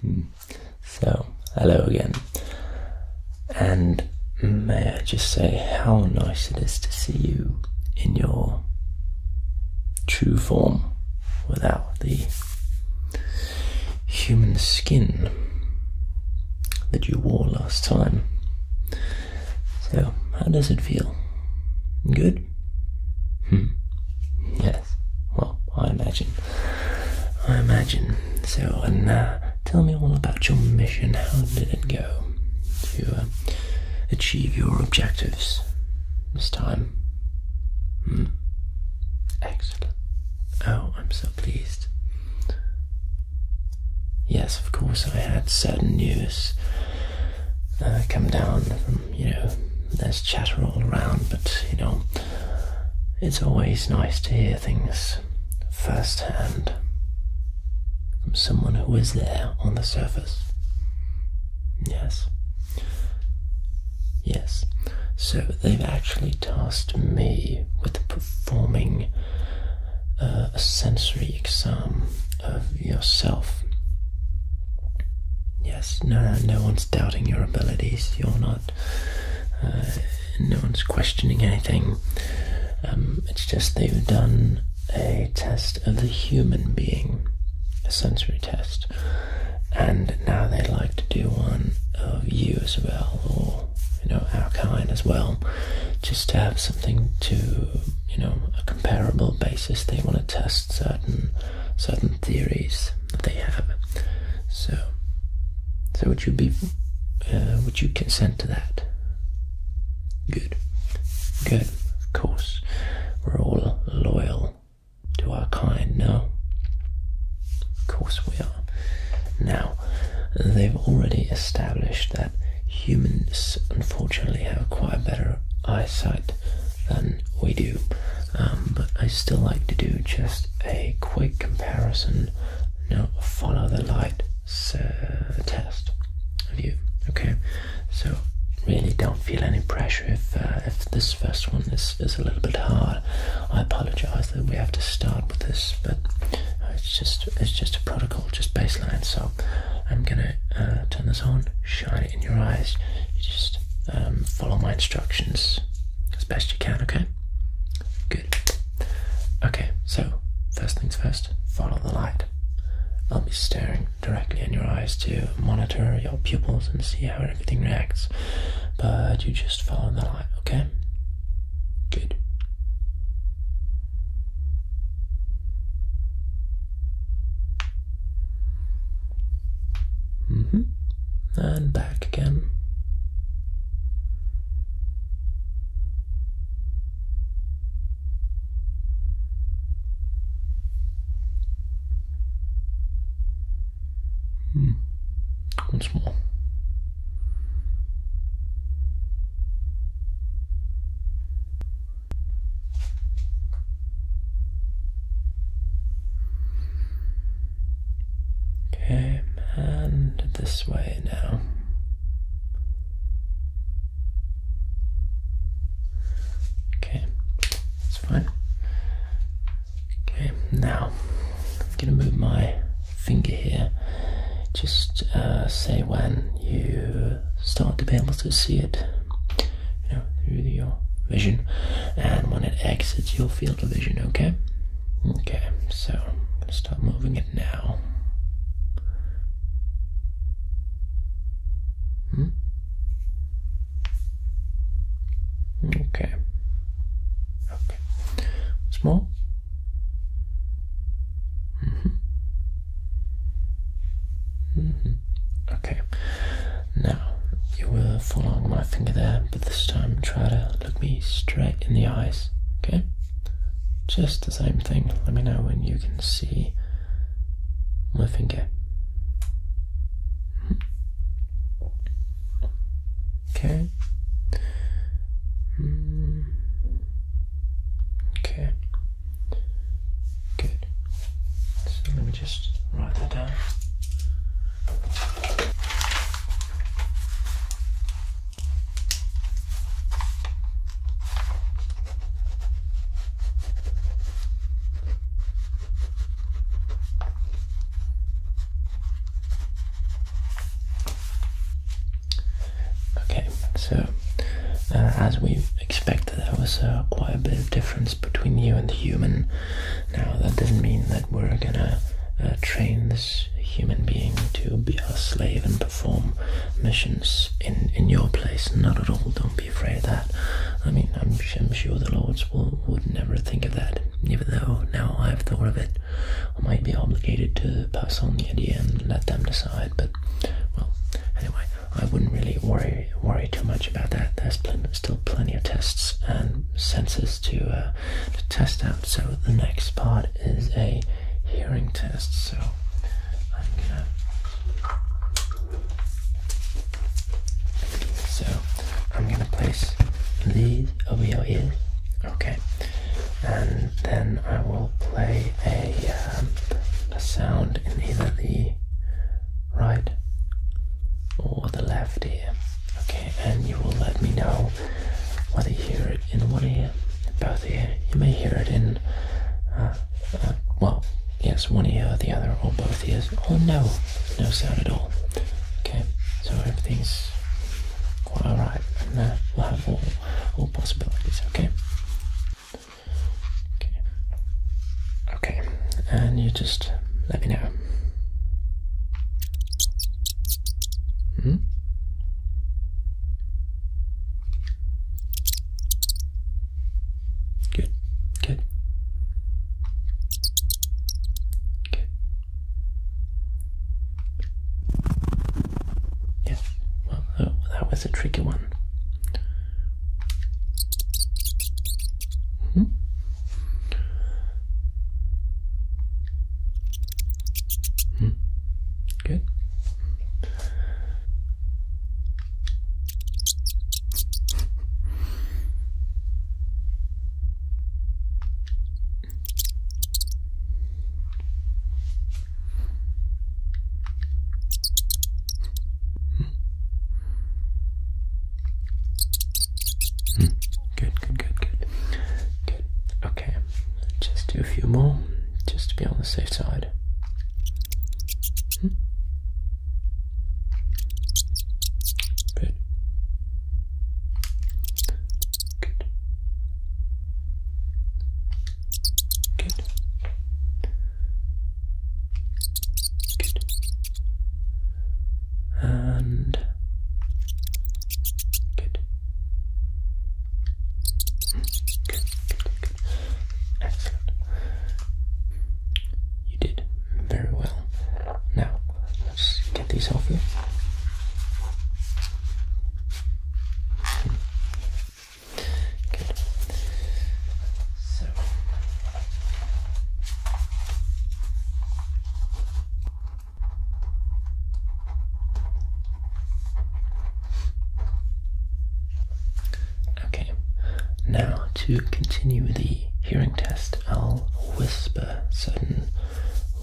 Hmm. So, hello again. And may I just say how nice it is to see you in your true form without the human skin that you wore last time. So, how does it feel? Good? Hmm. Yes. Well, I imagine I imagine. So, and uh, tell me all about your mission. How did it go to uh, achieve your objectives this time? Hmm? Excellent. Oh, I'm so pleased. Yes, of course, I had certain news uh, come down from you know, there's chatter all around, but you know, it's always nice to hear things firsthand from someone who is there on the surface. Yes. Yes. So they've actually tasked me with performing uh, a sensory exam of yourself Yes, no, no one's doubting your abilities. You're not. Uh, no one's questioning anything. Um, it's just they've done a test of the human being, a sensory test, and now they'd like to do one of you as well, or you know our kind as well, just to have something to you know a comparable basis. They want to test certain certain theories that they have. So, so would you be, uh, would you consent to that? Good, good. Of course, we're all loyal to our kind. Now, of course we are. Now, they've already established that humans, unfortunately, have quite a better eyesight than we do, um, but I still like to do just a quick comparison. Now, follow the light uh, test of you. Okay, so really don't feel any pressure if uh, if this first one is is a little bit hard. I apologize that we have to start with this, but uh, it's just it's just a protocol, just baseline. So I'm gonna uh, turn this on, shine in your eyes. You just um, follow my instructions as best you can, okay? Good. Okay, so first things first, follow the light. I'll be staring directly in your eyes to monitor your pupils and see how everything reacts. But you just follow the light, okay? Good. Mm -hmm. And back again. Mm. Once more. Okay, and this way now. Okay, that's fine. Okay, now I'm gonna move my finger here. Just uh, say when you start to be able to see it you know, through your vision, and when it exits your field of vision, okay? Okay, so stop moving it now. Hmm? Okay. Okay. Small. Mm -hmm. Mm -hmm. Okay. Now, you were following my finger there, but this time try to look me straight in the eyes, okay? Just the same thing. Let me know when you can see my finger. Okay. Mm. Okay. Good. So let me just write that down. Okay, so uh, as we expected, there was uh, quite a bit of difference between you and the human now, that doesn't mean that we're gonna uh, train this human being to be our slave and perform missions in, in your place. Not at all. Don't be afraid of that. I mean, I'm, sure the lords will, would never think of that, even though now I've thought of it. I might be obligated to pass on the idea and let them decide, but, well, anyway. I wouldn't really worry worry too much about that. There's still plenty of tests and sensors to, uh, to test out. So the next part is a hearing test. So I'm gonna. So I'm gonna place these over your ears. Okay, and then I will play a um, a sound in either the right or the left ear. Okay, and you will let me know whether you hear it in one ear, both ear. You may hear it in, uh, uh, well, yes, one ear or the other, or both ears, or no, no sound at all. Okay, so everything's quite alright, and we'll have all, all possibilities, okay? Okay, and you just let me know. Hmm? Good, good. Good. Yes, well, that was a tricky one. Mm -hmm. Mm -hmm. Good. Hmm. Good, good, good, good. Good. Okay. Just do a few more, just to be on the safe side. Hmm. Good. Good. Good. And good. Excellent. You did very well. Now, let's get these off you. Good. So Okay, now to continue the hearing test, I'll whisper certain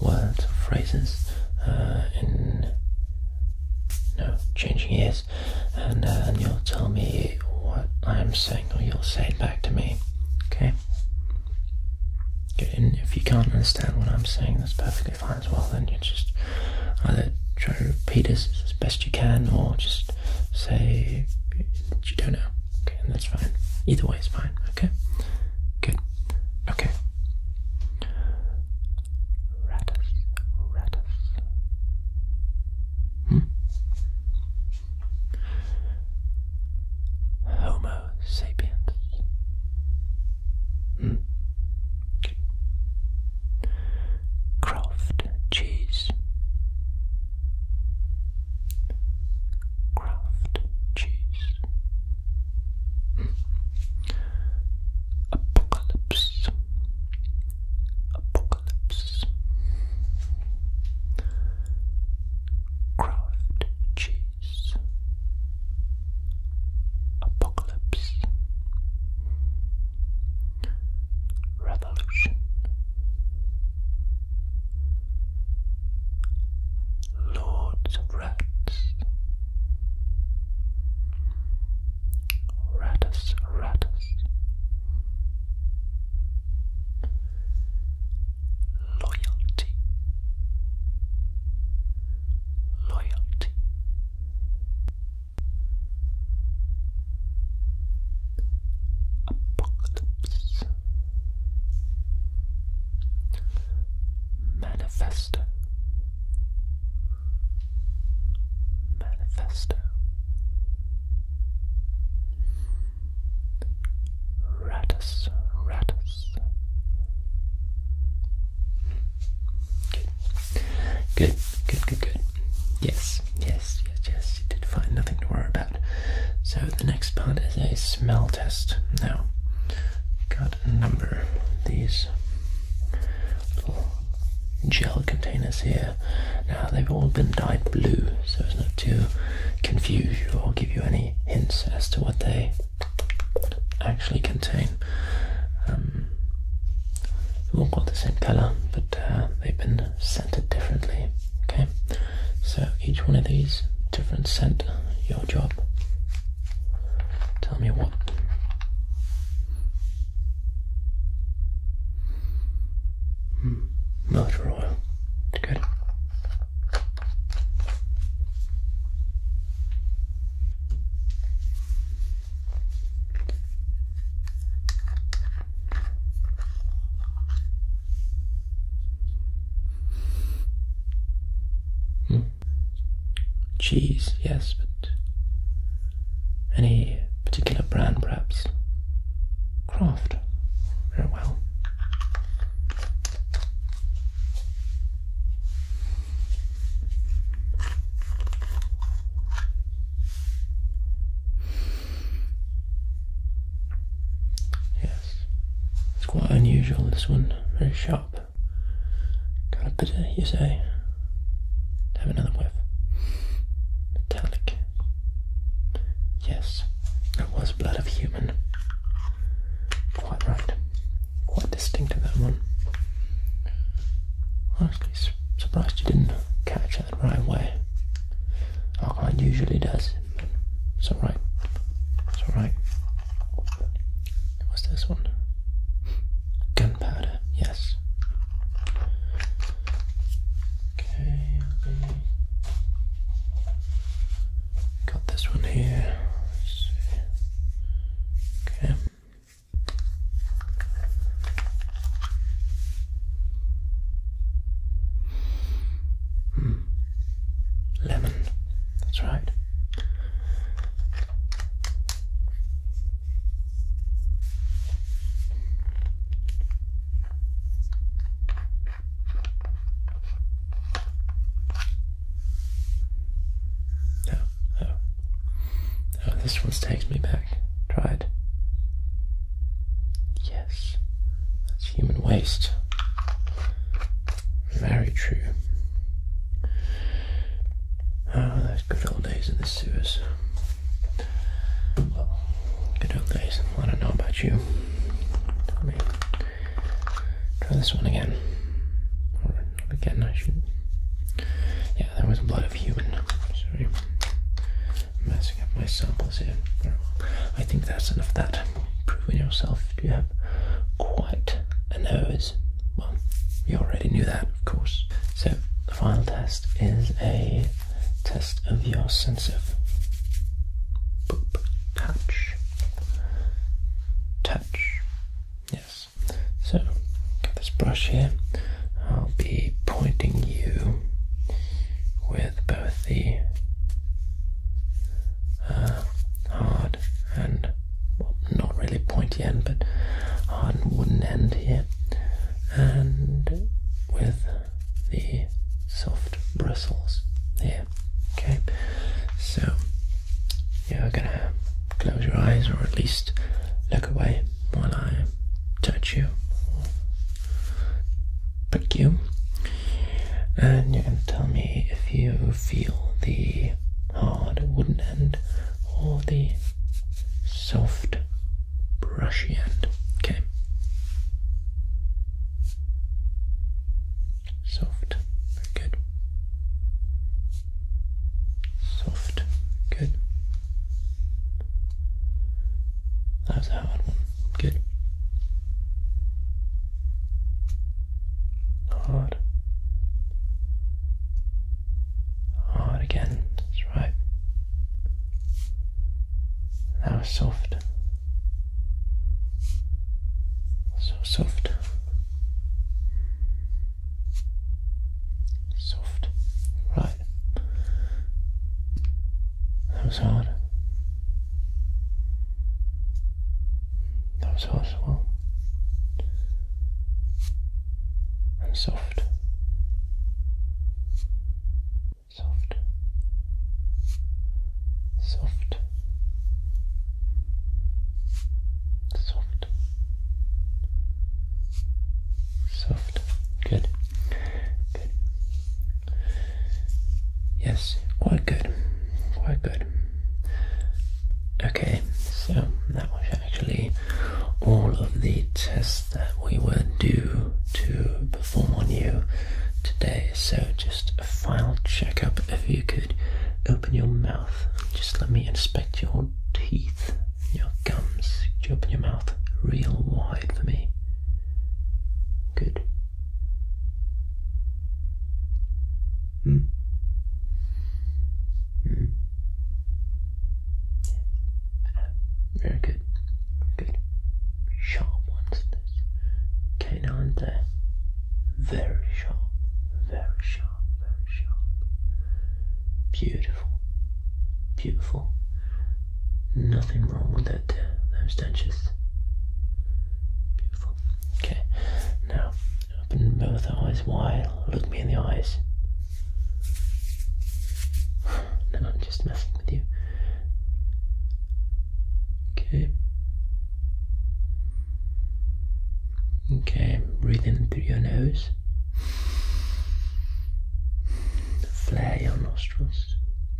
words or phrases uh, in no changing ears and then uh, you'll tell me what I'm saying, or you'll say it back to me. Okay? And if you can't understand what I'm saying, that's perfectly fine as well. Then you just either try to repeat it as best you can, or just say you don't know. Okay, that's fine. Either way is fine. Okay? Good. Okay. Ratus, ratus, Hmm? Homo sapiens. Hmm. Craft cheese. Craft cheese. Hmm. Apocalypse. Apocalypse apocalypse. Craft cheese. Apocalypse. Revolution. Lords of Rats. Ratus, ratus. Loyalty, loyalty. Apocalypse. Manifesto. Manifesto Ratus Ratus Good, good, good, good. Yes, yes, yes, yes, you did find nothing to worry about. So the next part is a smell test. Now, got a number these gel containers here. Now they've all been dyed blue, so it's not to confuse you or give you any hints as to what they actually contain. Um, they've all got the same color, but uh, they've been scented differently. Okay, so each one of these different scent. Your job. Tell me what Mm. Not for a while. It's good. Mm. Cheese, yes, but any particular brand, perhaps? Craft. Very well. Yes, it's quite unusual this one, very sharp. Kind of bitter, you say, have another whiff. Metallic. Yes, that was blood of human. Quite right. Quite distinctive, that one. Honestly, surprised you didn't catch that right away. Our client usually does. It's alright. It's alright. What's this one? Gunpowder, yes. Okay, got this one here. Okay. Hmm. Lemon, that's right. Oh, oh. Oh, this one takes me back. Tried. Yes. That's human waste. Very true. oh, those good old days in the sewers. Well, good old days. I don't know about you. Let try this one again. Or again, I should. Yeah, there was a lot of human. Sorry. I'm messing up my samples here. I think that's enough that. Proving yourself. You have quite a nose. Well, you already knew that, of course. So, the final test is a test of your sense of touch. Touch. Yes. So, got this brush here. I'll be pointing you with both the uh, hard and not really pointy end, but hard wooden end here and with the soft bristles here. Okay, so you're gonna close your eyes or at least look away while I touch you prick you, and you're gonna tell me if you feel the hard wooden end or the soft brushy end. Okay. Soft. Very good. Soft. Good. That was a hard one. Good. Hard. Hard again, that's right. That was soft. So soft. Soft. Right. That was hard. That was hard as well and soft. Soft. Soft. Soft. Soft. Good. Good. Yes, quite good. Quite good. Okay, so that was actually all of the tests that we were due to perform on you today. So just a final checkup if you could open your mouth just let me inspect your teeth, your gums. you open your mouth real wide for me? Good. Hmm. Hmm. Very good. Good. Sharp ones. Canine there. Very sharp. Very sharp. Very sharp. Beautiful. Beautiful. Nothing wrong with that there. Uh, those dentures. Beautiful. Okay. Now open both eyes wide. Look me in the eyes. No, I'm just messing with you. Okay. Okay, breathe in through your nose. Flare your nostrils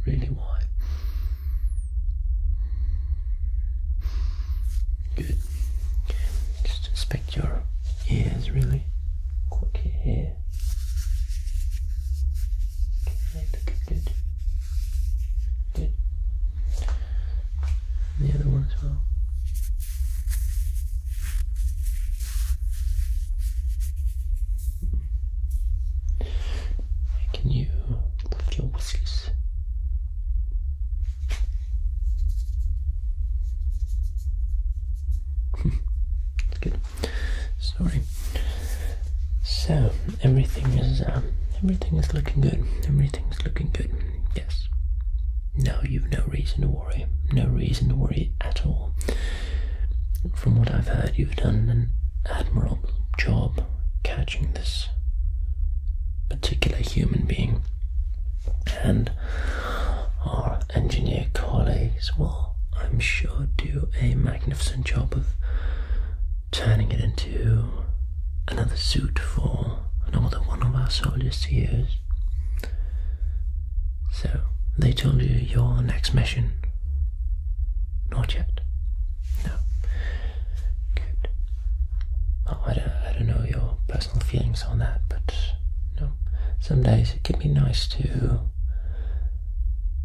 really wide. Good. just inspect your ears really. Look here. Okay, good. Good. the other one as well. Can you lift your whiskers? Good. Sorry. So everything is uh, everything is looking good. Everything's looking good. Yes. Now you've no reason to worry. No reason to worry at all. From what I've heard, you've done an admirable job catching this particular human being and our engineer colleagues will, I'm sure, do a magnificent job of turning it into another suit for another one of our soldiers to use. So, they told you your next mission. Not yet. No. Good. Oh, I don't, I don't know your feelings on that, but you some days it can be nice to,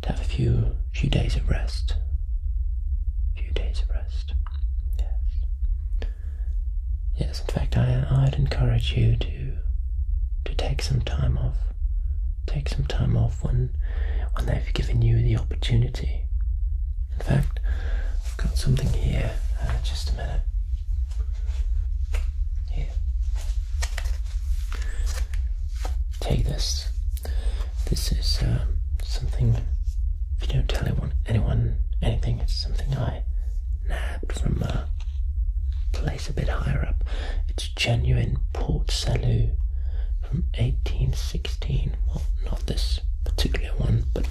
to have a few few days of rest. Few days of rest. Yes. Yes. In fact, I would encourage you to to take some time off. Take some time off when when they've given you the opportunity. In fact, I've got something here. Uh, just a minute. Here. Take this. This is um, something, if you don't tell anyone, anyone anything, it's something I nabbed from a place a bit higher up. It's genuine Port Salut from 1816. Well, not this particular one, but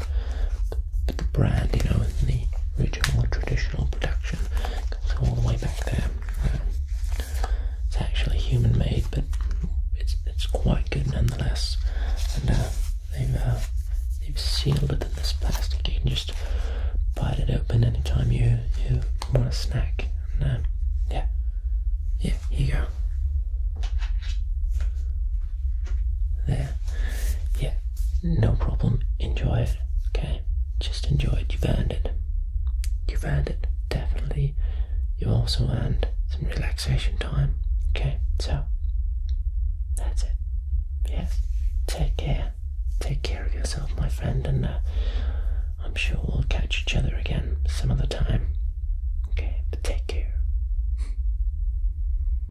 the brand, you know, the original traditional production goes all the way back there. it's actually human made, but it's it's quite good nonetheless. And uh, they've uh, they've sealed it in this plastic. You can just bite it open anytime you you want a snack. And, uh, yeah, yeah, here you go. There. Yeah, no problem. Enjoy it. Okay, just enjoy it. You've earned it. You've earned it, definitely. you also earned some relaxation time. Okay, so that's it. Yes, take care. Take care of yourself, my friend, and uh, I'm sure we'll catch each other again some other time. Okay, take care.